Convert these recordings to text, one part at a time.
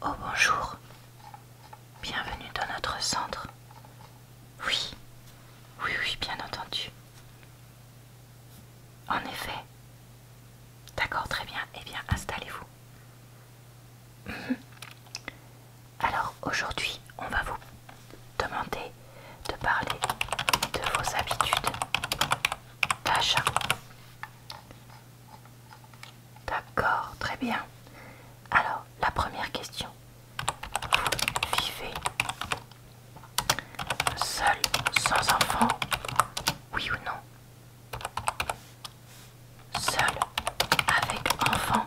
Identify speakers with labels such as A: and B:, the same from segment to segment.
A: Oh bonjour, bienvenue dans notre centre. Oui, oui, oui, bien entendu. En effet. D'accord, très bien. Eh bien, installez-vous. Mhm. Alors aujourd'hui, on va vous demander de parler de vos habitudes d'achat. D'accord, très bien. Alors, la première question. Vous vivez seul, sans enfant, oui ou non Seul Avec enfant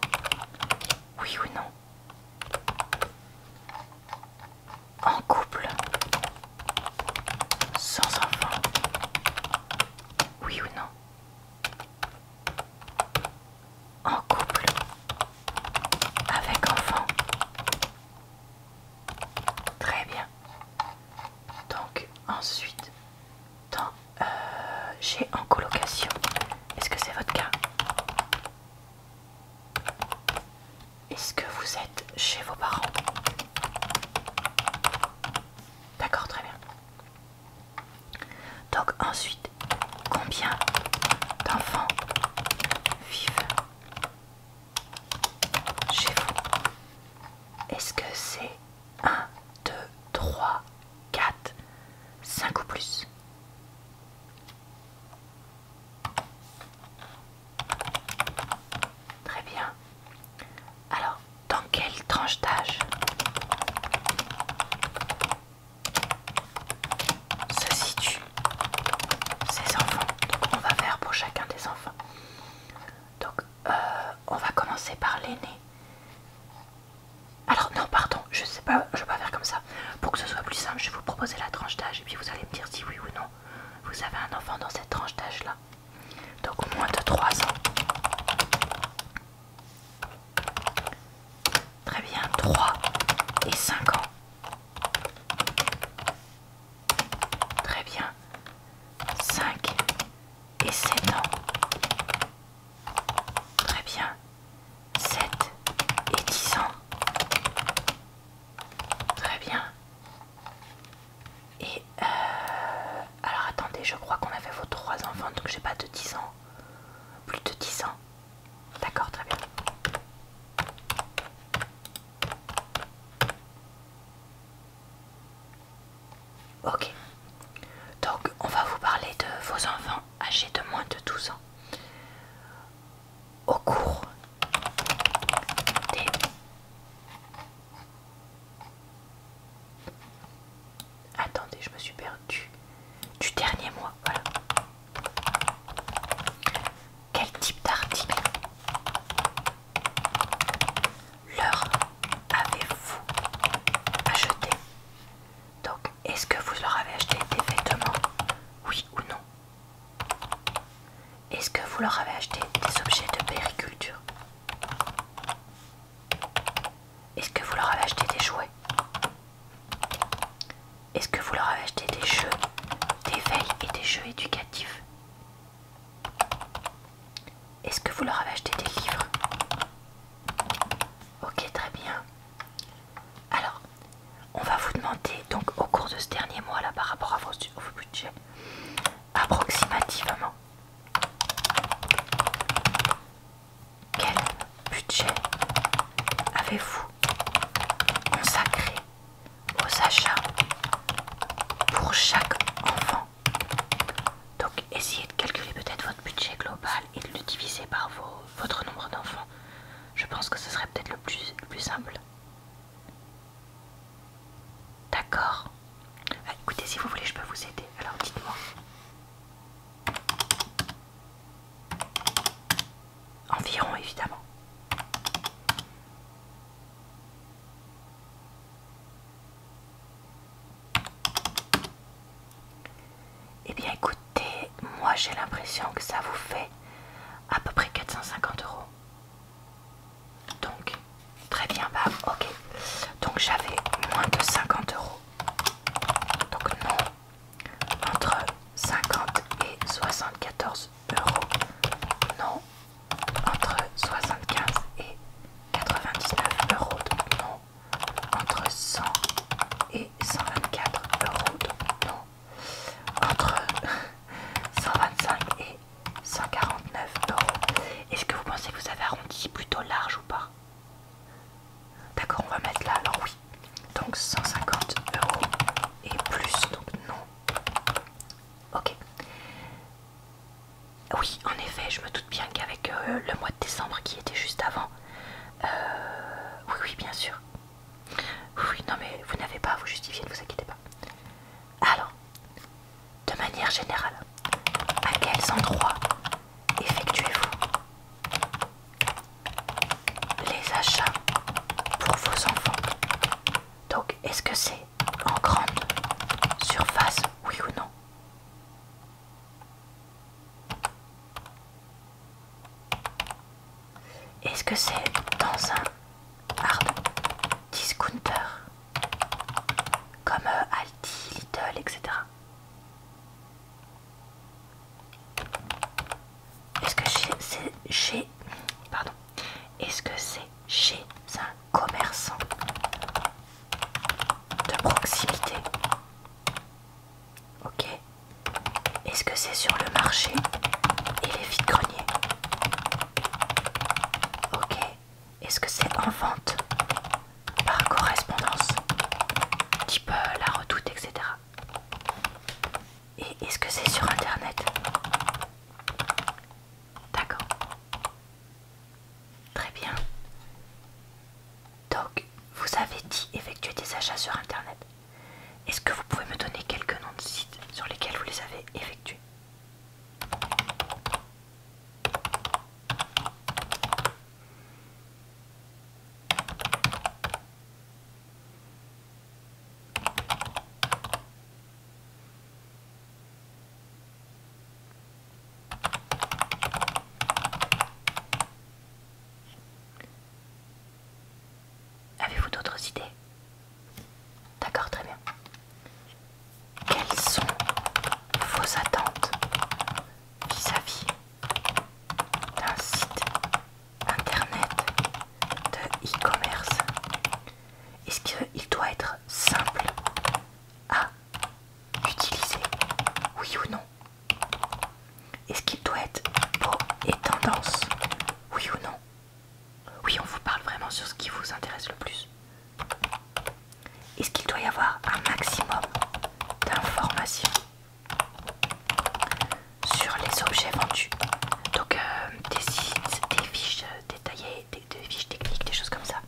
A: Oui ou non En couple Sans enfant Oui ou non En couple Avec enfant Très bien. Donc ensuite, euh, j'ai en colocation. Est-ce que c'est votre cas Est-ce que vous êtes chez vos parents D'accord, très bien. Donc ensuite, combien d'enfants vivent chez vous Est-ce que c'est 1, 2, 3, 4, 5 ou plus. Très bien. Alors, dans quelle tranche d'âge se situent ces enfants Donc, on va faire pour chacun des enfants. Donc, euh, on va commencer par l'aîné. Alors non, pardon, je ne sais pas, je ne vais pas faire comme ça. Pour que ce soit plus simple, je vais vous proposer la tranche d'âge et puis vous allez me dire si oui ou non vous avez un enfant dans cette tranche d'âge là. Donc moins de 3 ans. Très bien, 3 et 5 ans. Très bien. 5 et 7 ans. Très bien. 7 et 10 ans. Très bien. Et euh, alors attendez, je crois qu'on avait vos 3 enfants, donc j'ai pas de 10 ans. Plus de 10 ans. D'accord, très bien. Ok. Donc, on va vous parler de vos enfants âgés de moins de 12 ans. Au cours des... Attendez, je me suis perdue. Du dernier mois, voilà. Quel type d'article leur avez-vous acheté donc, est-ce que vous leur avez acheté des vêtements Oui ou non Est-ce que vous leur avez acheté des objets de périculture Est-ce que vous leur avez acheté des jouets Est-ce que vous leur avez acheté des jeux des veilles et des jeux éducatifs est-ce que vous leur avez acheté des livres Ok, très bien. Alors, on va vous demander, donc au cours de ce dernier mois, là, par rapport à vos, budgets, approximativement, quel budget avez-vous consacré aux achats pour chaque enfant donc essayez de calculer peut-être votre budget global et de le diviser par votre nombre d'enfants. Je pense que ce serait peut-être le plus, simple. D'accord. Ah, écoutez, si vous voulez, je peux vous aider. Alors dites-moi. Environ, évidemment. Eh bien écoutez, moi j'ai l'impression que ça vous fait à peu près 450 euros. Donc, très bien, bah ok. Donc j'avais moins de 50 euros. Donc non, entre 50 et 74 euros. Non, entre 75 et 99 euros. Donc non, entre 100 et 124 euros, non, entre 125 et 149 euros. Est-ce que vous pensez que vous avez arrondi plutôt large ou pas D'accord, on va mettre là, alors oui. Donc 150 euros et plus, donc non. Ok. Oui, en effet, je me doute bien qu'avec euh, le mois de décembre qui était juste avant. Euh, oui, oui, bien sûr. Oui, non, mais vous n'avez pas à vous justifier, ne vous inquiétez pas. Alors, de manière générale, à quels endroits effectuez-vous les achats pour vos enfants Donc, est-ce que c'est en grande surface, oui ou non est-ce que c'est dans un discounter comme euh, Aldi, Little, etc. Est-ce que c'est chez, pardon, est-ce que c'est chez ça commerçants de proximité. Ok. Est-ce que c'est sur le marché et les de greniers Ok. Est-ce que c'est en vente par correspondance Type euh, la redoute, etc. Et est-ce que c'est sur Internet D'accord. Très bien. Donc, vous avez dit effectuer des achats sur Internet. Est-ce que vous pouvez me donner quelques noms de sites sur lesquels vous les avez effectués Avez-vous d'autres idées D'accord, très bien. Quelles sont vos attentes vis-à-vis d'un site internet de e-commerce Est-ce qu'il doit être simple à utilisé Oui ou non Est-ce qu'il doit être beau et tendance Oui ou non Oui, on vous parle vraiment sur ce qui vous intéresse le plus. Est-ce qu'il doit y avoir un maximum d'informations sur les objets vendus Donc euh, des sites, des fiches euh, détaillées, des fiches techniques, des choses comme ça.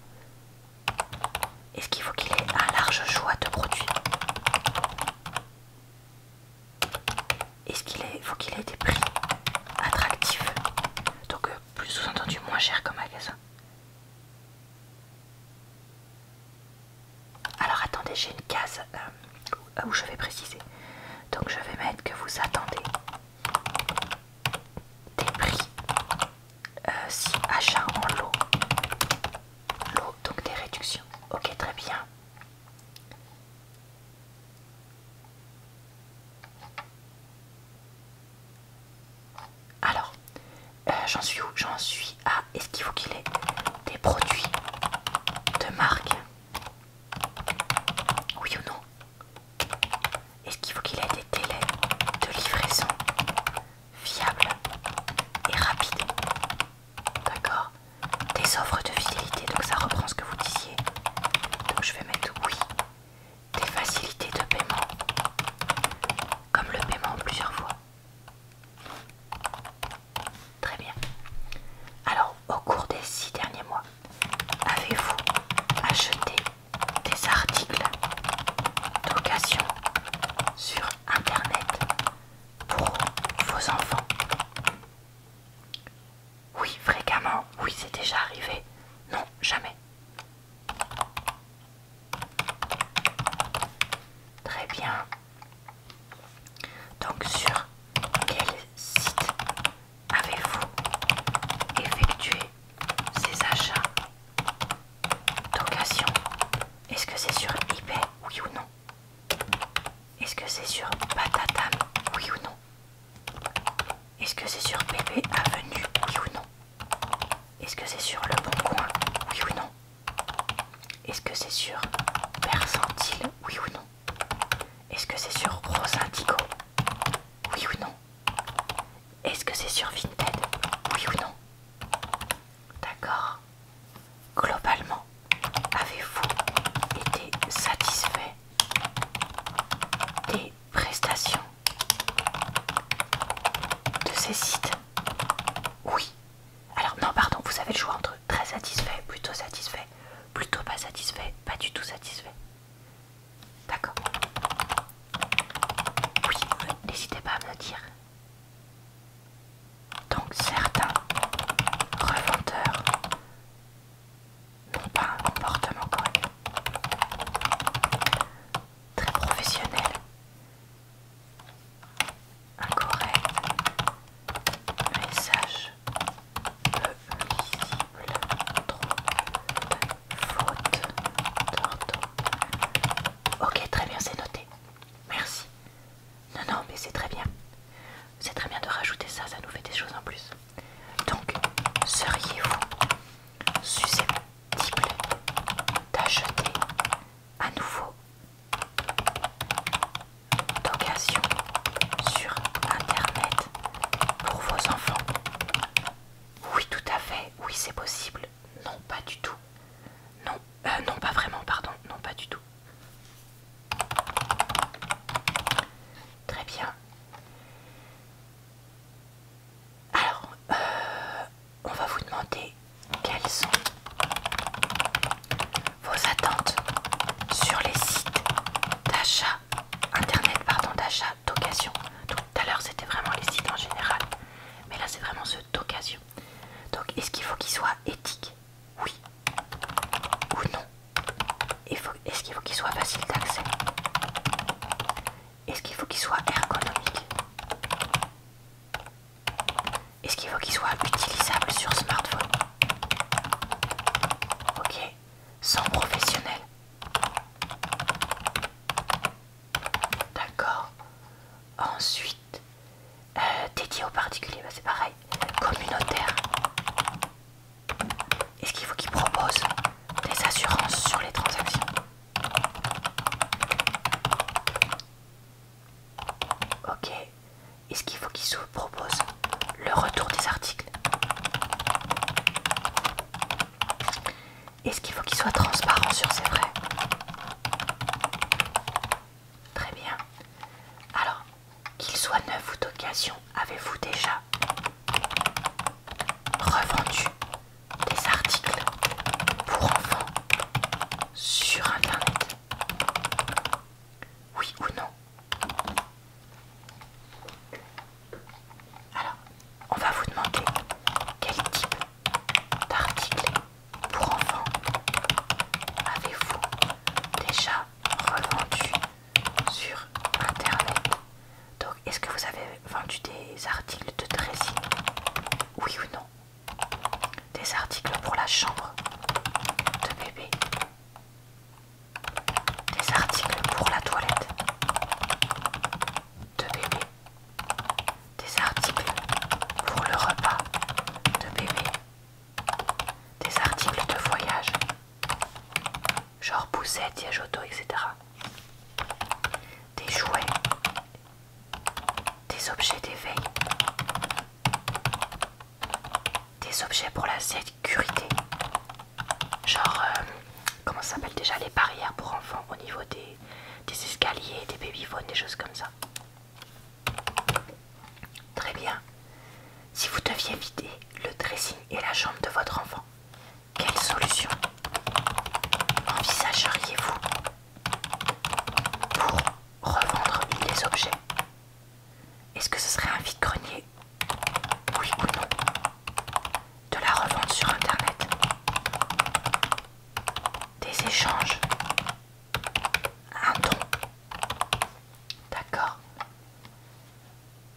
A: Est-ce qu'il faut qu'il ait un large choix de produits Est-ce qu'il faut qu'il ait des prix attractifs Donc euh, plus sous-entendu moins cher comme magasin. Alors attendez, j'ai une case euh, où je vais préciser. Donc je vais mettre que vous attendez des prix euh, si achat en lot. Lot, donc des réductions. Ok, très bien. Alors, euh, j'en suis où J'en suis à... Est-ce qu'il faut qu'il ait des produits de marque Oui ou non est-ce qu'il faut qu'il ait des délais de livraison fiables et rapides D'accord Des offres de fidélité, donc ça reprend ce que vous disiez. Donc je vais mettre oui. Des facilités de paiement, comme le paiement plusieurs fois. Très bien. Alors, au cours des six derniers mois, avez-vous acheté des articles d'occasion sur Internet pour vos enfants. Oui, fréquemment, oui, c'est déjà arrivé. Non, jamais. Très bien. Donc sur quel site avez-vous effectué ces achats D'occasion. Est-ce que c'est sur eBay Oui ou non Est-ce que c'est sur Patatam Oui ou non Est-ce que c'est sur Pépé Avenue Oui ou non Est-ce que c'est sur Le Bon Coin Oui ou non Est-ce que c'est sur Percentile Oui ou non Est-ce que c'est sur Rosindigo Oui ou non est-ce que c'est sur Vinted Oui ou non D'accord. Globalement, avez-vous été satisfait des prestations de ces sites Oui. Alors non, pardon, vous avez le choix entre très satisfait, plutôt satisfait, plutôt pas satisfait, pas du tout satisfait. D'accord. Oui, euh, n'hésitez pas à me le dire. Donc certains revendeurs n'ont pas un comportement correct. Très professionnel. Incorrect. Message peu faute Ok, très bien, c'est noté. Merci. Non, non, mais c'est très bien. C'est très bien de rajouter ça, ça nous fait des choses en plus. Donc, seriez-vous susceptible d'acheter à nouveau d'occasion sur Internet pour vos enfants oui, tout à fait. Oui, c'est possible. Non, pas du tout. Non, euh, pas vraiment, pardon. Non, pas du tout. Très bien. Alors, euh, on va vous demander quelles sont vos attentes sur les sites d'achat internet, pardon, d'achat d'occasion. Tout à l'heure c'était vraiment les sites en général, mais là c'est vraiment ceux d'occasion. Donc est-ce qu'il faut qu'il soit éthique Oui ou non Est-ce qu'il faut qu'il soit facile d'accès Est-ce qu'il faut qu'il soit ergonomiques Est-ce qu'il faut qu'il soit utilisable sur smartphone Ok, sans professionnel D'accord. Ensuite, euh, dédié aux particuliers, bah, c'est pareil. Communautaire. Est-ce qu'il faut qu'ils proposent des assurances sur les transactions Ok. Est-ce qu'il faut qu'ils se proposent le retour des articles est-ce qu'il faut qu'il soit transparent sur ses vrais Très bien. Alors, qu'il soit neuf ou d'occasion, avez-vous déjà revendu des articles pour enfants sur Internet Oui ou non alors, on va vous demander quel type d'articles pour enfants avez-vous déjà revendu sur Internet Donc, est-ce que vous avez vendu des articles de dressing Oui ou non Des articles pour la chambre de bébé des articles pour la toilette de bébé, des articles pour le repas de bébé, des articles de voyage, genre poussette, siège auto, etc. Des jouets, des objets d'éveil, des objets pour la l'assiette, sécurité. Genre, euh, comment ça s'appelle déjà les barrières pour enfants au niveau des, escaliers, des babyphones, des choses comme ça. Très bien. Si vous deviez vider le dressing et la chambre de votre enfant, quelle solution envisageriez-vous pour revendre les objets Est-ce que ce serait un vide-grenier oui ou non De la revente sur Internet Des échanges Un don D'accord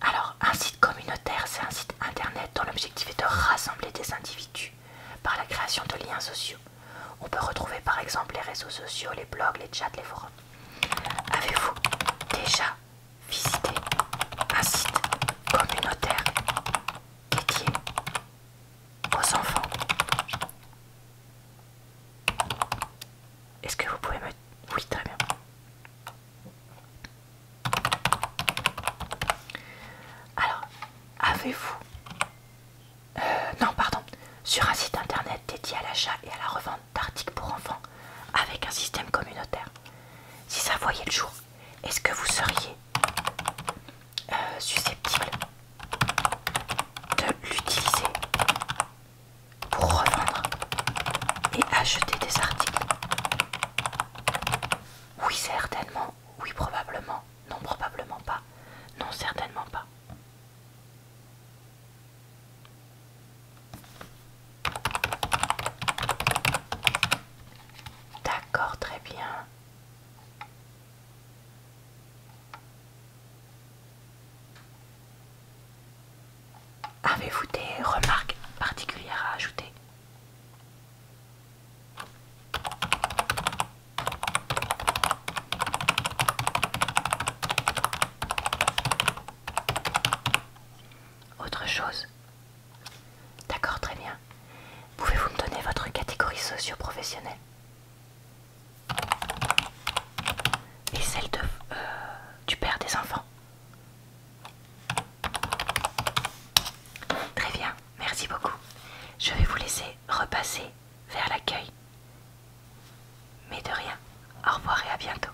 A: Alors, un site communautaire, c'est un site Internet dont l'objectif est de rassembler des individus par la création de liens sociaux. On peut retrouver par exemple les réseaux sociaux, les blogs, les chats, les forums. Avez-vous déjà visiter un site communautaire dédié aux enfants. Est-ce que vous pouvez me... Oui, très bien. Alors, avez-vous... Euh, non, pardon. Sur un site internet dédié à l'achat et à la revente d'articles pour enfants avec un système communautaire. Si ça voyait le jour, est-ce que vous seriez euh, susceptible de l'utiliser pour revendre et acheter des articles Oui, certainement. Oui, probablement. Non, probablement pas. Non, certainement pas. D'accord, très bien. Avez-vous des remarques particulières à ajouter Autre chose D'accord, très bien. Pouvez-vous me donner votre catégorie socio-professionnelle Et celle euh, du père des enfants Très bien, merci beaucoup. Je vais vous laisser repasser vers l'accueil. Mais de rien, au revoir et à bientôt.